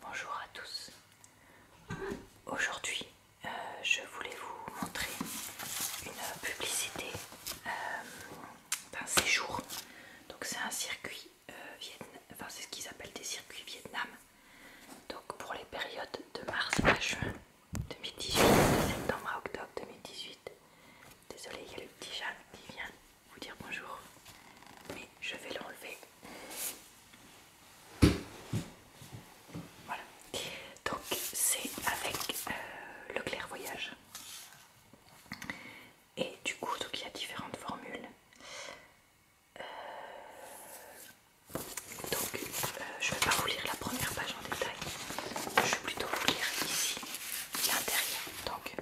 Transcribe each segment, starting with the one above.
Bonjour à tous. Aujourd'hui, euh, je voulais vous montrer une publicité euh, d'un séjour. Donc c'est un circuit euh, enfin c'est ce qu'ils appellent des circuits Vietnam. Donc pour les périodes de mars à juin 2018, de septembre à octobre 2018. désolé il y a le petit chat qui vient vous dire bonjour, mais je vais l'enlever voilà. Donc c'est avec euh, le le clairvoyage. Et du coup, donc il y a différentes formules. Euh, donc euh, je ne vais pas vous lire la première page en détail. Je vais plutôt vous lire ici l'intérieur. Donc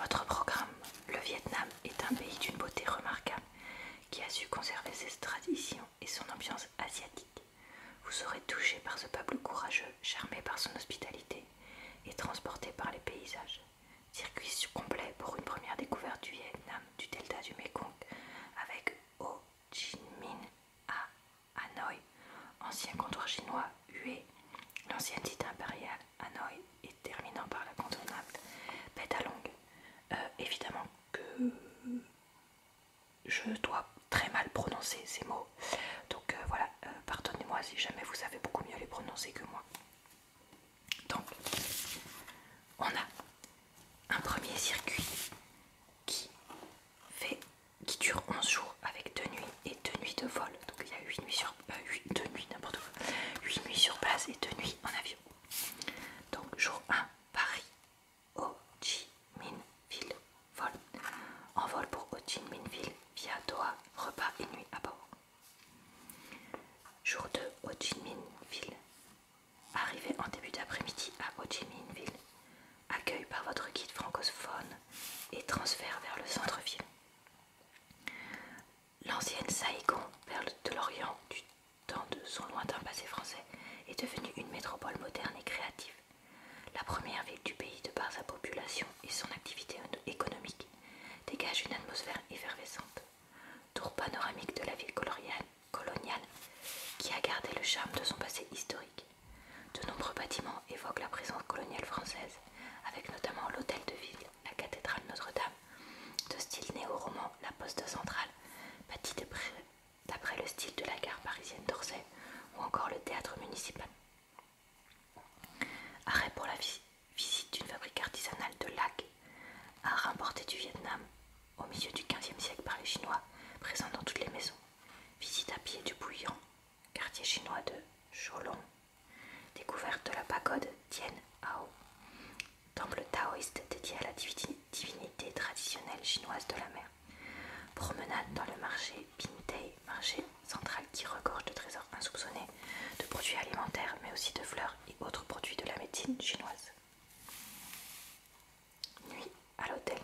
votre programme, le Vietnam, est un pays d'une beauté remarquable qui a su conserver ses traditions et son ambiance asiatique. Vous serez touché par ce peuple courageux, charmé par son hospitalité et transporté par les paysages. Circuit complet pour une première découverte du Vietnam, du delta du Mekong, avec Ho Chi Minh à Hanoï, ancien comptoir chinois Hue, l'ancienne cité impériale Hanoï et terminant par la contournable Pétalongue. Euh, évidemment que je dois très mal prononcer ces mots, donc euh, voilà, euh, pardonnez-moi si jamais vous savez beaucoup mieux les prononcer que moi. Donc, on a un premier circuit qui fait qui dure 11 jours avec 2 nuits et 2 nuits de vol, donc il y a 8 nuits sur 8, euh, 2 nuits, n'importe quoi. 8 nuits sur place et 2 nuits en avion. Donc jour 1, Paris, Ho Chi Minh vol. En vol pour Ho Chi Minh via Doha, repas et nuit à bord. Jour 2, Ho Chi Minh Arrivé en début d'après-midi à Ho Chi Minh Accueil par votre guide francophone et transfert vers le centre-ville. L'ancienne Saïgon, perle de l'Orient du temps de son lointain passé français, est devenue une métropole moderne et créative, la première ville du pays de par sa population et son activité économique dégage une atmosphère effervescente. Tour panoramique de la ville coloniale qui a gardé le charme de son passé historique. De nombreux bâtiments évoquent la présence coloniale française, avec notamment l'hôtel de ville la cathédrale Notre-Dame, de style néo-roman, la poste centrale, bâtie d'après le style de la gare parisienne d'Orsay, ou encore le théâtre municipal. Arrêt pour la visite d'une fabrique artisanale de lacs, art importé du Vietnam, au milieu du XVe siècle par les Chinois, présent dans toutes les maisons. Visite à pied du Bouillant, quartier chinois de Sholong. découverte de la pagode Tien Hao, temple taoïste dédié à la divinité traditionnelle chinoise de la mer, promenade dans le marché Pintei, marché central qui regorge de trésors insoupçonnés, de produits alimentaires, mais aussi de fleurs et autres produits de la médecine chinoise. Nuit à l'hôtel.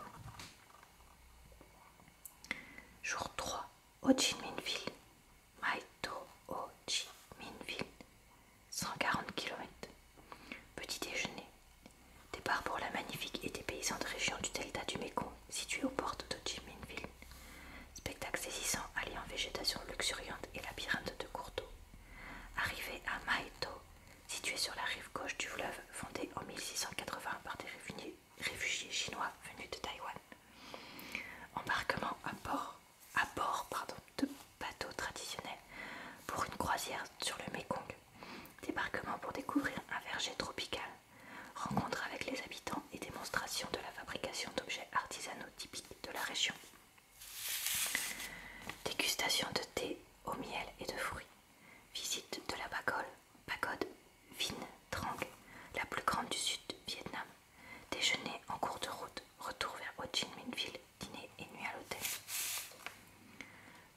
Jour 3. Ho Chi Minhville, Maito 140 km. Petit déjeuner. Départ pour la magnifique et paysans région du delta du Mékong, située aux portes de Ho Chi Minhville. Spectacle saisissant en végétation luxuriante et labyrinthe de cours d'eau. Arrivée à Maito, situé sur la rive gauche du fleuve, fondé en 1680 par des réfugiés réfugiés chinois venus de Taïwan. Embarquement à bord, de bateaux traditionnels pour une croisière sur le Mekong. Débarquement pour découvrir un verger tropical. Rencontre avec les habitants et démonstration de la fabrication d'objets artisanaux typiques de la région. Dégustation de thé au miel et de fruits. Visite de la pagode, pagode Vin Trang, la plus grande du sud Vietnam. Déjeuner en cours de route, retour vers Ho Chi Minh Ville, dîner et nuit à l'hôtel.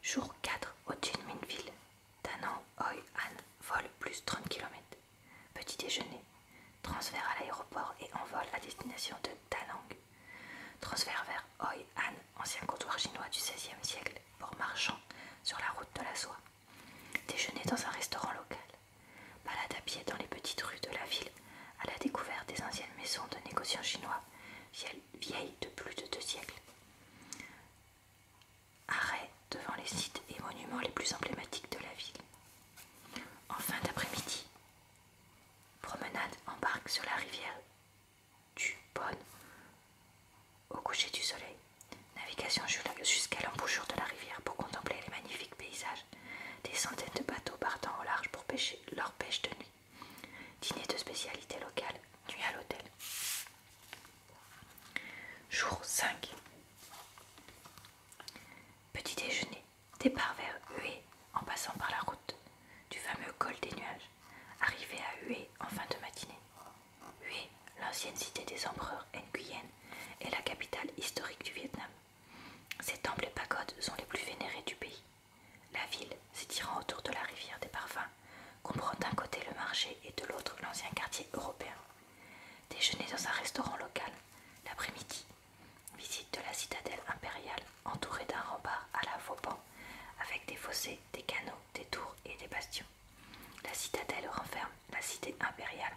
Jour 4, Ho Chi Minh Ville, Danang Hoi An, vol plus 30 km. Petit déjeuner, transfert à l'aéroport et en vol à destination de Danang. Transfert vers Hoi An, ancien comptoir chinois du XVIe siècle, pour marchand sur la route de la soie déjeuner dans un restaurant local, balade à pied dans les petites rues de la ville à la découverte des anciennes maisons de négociants chinois vieilles de plus de deux siècles, arrêt devant les sites et monuments les plus emblématiques de la ville. En fin d'après-midi, promenade en barque sur la rivière du Bonne au coucher du soleil, navigation jusqu'à l'embouchure de la rivière pour contempler les magnifiques paysages. Des centaines de bateaux partant au large pour pêcher leur pêche de nuit. Dîner de spécialité locale, nuit à l'hôtel. Jour 5. Petit déjeuner, départ vers Hué en passant par la route du fameux col des nuages. Arrivé à Hué en fin de matinée. Hue, l'ancienne cité des empereurs Nguyen, est la capitale historique du Vietnam. Ses temples et pagodes sont les plus vénérés du pays. La ville, s'étirant autour de la rivière des parfums, comprend d'un côté le marché et de l'autre l'ancien quartier européen. Déjeuner dans un restaurant local, l'après-midi, visite de la citadelle impériale entourée d'un rempart à la Vauban avec des fossés, des canaux, des tours et des bastions. La citadelle renferme la cité impériale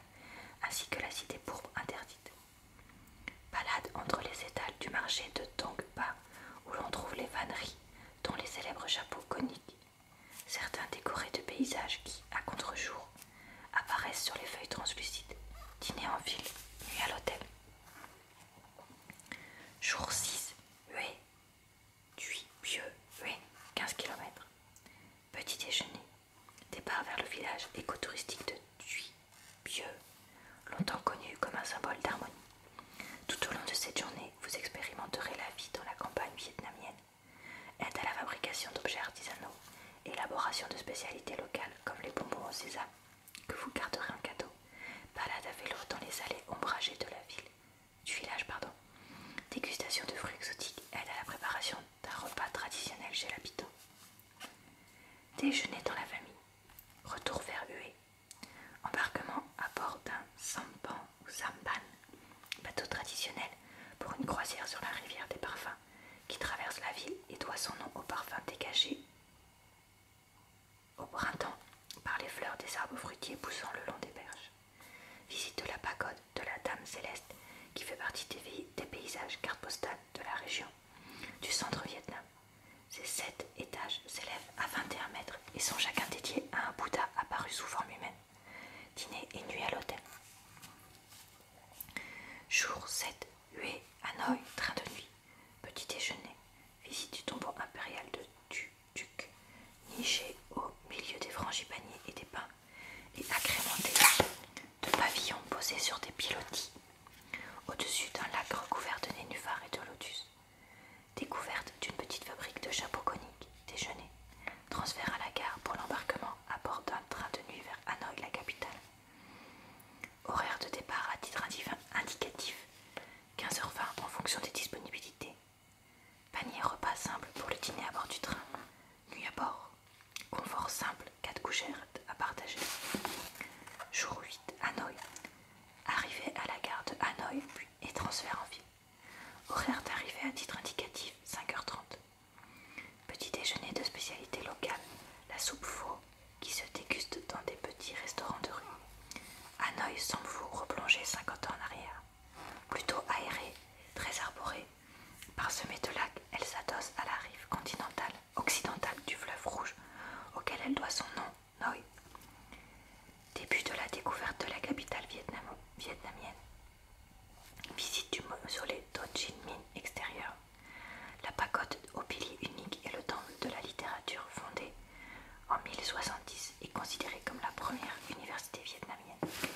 ainsi que la cité pourpre interdite. Palade entre les étals du marché de Tongpa où l'on trouve les vanneries, dont les célèbres chapeaux coniques, certains décorés de paysages qui, à contre-jour, apparaissent sur les feuilles translucides. Dîner en ville, nuit à l'hôtel. Jour 6, Hué, Tuy, Pieux, Oui. 15 km. Petit déjeuner. Départ vers le village écotouristique de Tuy-Pieux, longtemps connu comme un symbole d'harmonie. Tout au long de cette journée, vous expérimenterez la vie dans la campagne vietnamienne. Aide à la fabrication d'objets artisanaux, élaboration de spécialités locales comme les bonbons au sésame, que vous garderez en cadeau, balade à vélo dans les allées ombragées de la ville, Pardon. Dégustation de fruits exotiques aide à la préparation d'un repas traditionnel chez l'habitant. Déjeuner dans la famille. Retour vers Hué. Embarquement à bord d'un sampan ou sampan, bateau traditionnel pour une croisière sur la rivière des parfums qui traverse la ville et doit son nom aux parfums dégagé au printemps par les fleurs des arbres fruitiers poussant le long des berges. Visite de la pagode de la Dame Céleste, qui fait partie des, paysages cartes postales de la région du centre Vietnam. Ces sept étages s'élèvent à 21 mètres et sont chacun dédiés à un Bouddha apparu sous forme humaine. Dîner et nuit à l'hôtel. Jour 7, Hue, Hanoï, train de nuit. Petit déjeuner, visite du tombeau impérial de Tu duc, niché au milieu des frangipaniers et des pins, et agrémenté de pavillons posés sur des pilotis, au-dessus d'un lac recouvert de nénuphars et de lotus. Découverte d'une petite fabrique de chapeaux coniques, déjeuner, transfert à la gare pour l'embarquement à bord d'un train de nuit vers Hanoï, la capitale. Horaire de départ à titre indicatif, 15h20 en fonction des disponibilités, Panier repas simple pour le dîner à bord du train. Nuit à bord. Confort simple, 4 couchères à partager. Jour 8, Hanoï. Arrivée à la gare de Hanoï et transfert en ville. Horaire d'arrivée à titre indicatif, 5h30. Petit déjeuner de spécialité locale, la soupe faux qui se déguste dans des petits restaurants de rue. Hanoï sans vous replonger 50 ans en arrière. Plutôt aérée, très arborée, parsemée de lacs, elle s'adosse à la rive continentale occidentale du fleuve Rouge, auquel elle doit son nom, Noi. Début de la découverte de la capitale vietnamienne. Visite du mausolée Do Chi Minh extérieur. La pagode au pilier unique et le temple de la littérature fondée en 1070 et est considérée comme la première université vietnamienne.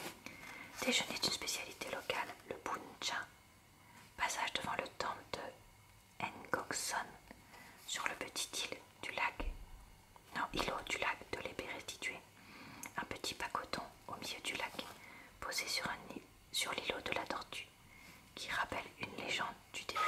Déjeuner d'une spécialité locale, le Bun Cha. Passage devant le temple de Ngoc Son sur le petit île du lac, non, îlot du lac de l'épée restituée. Un petit pacoton au milieu du lac, posé sur, un, sur l'îlot de la tortue, qui rappelle une légende du début.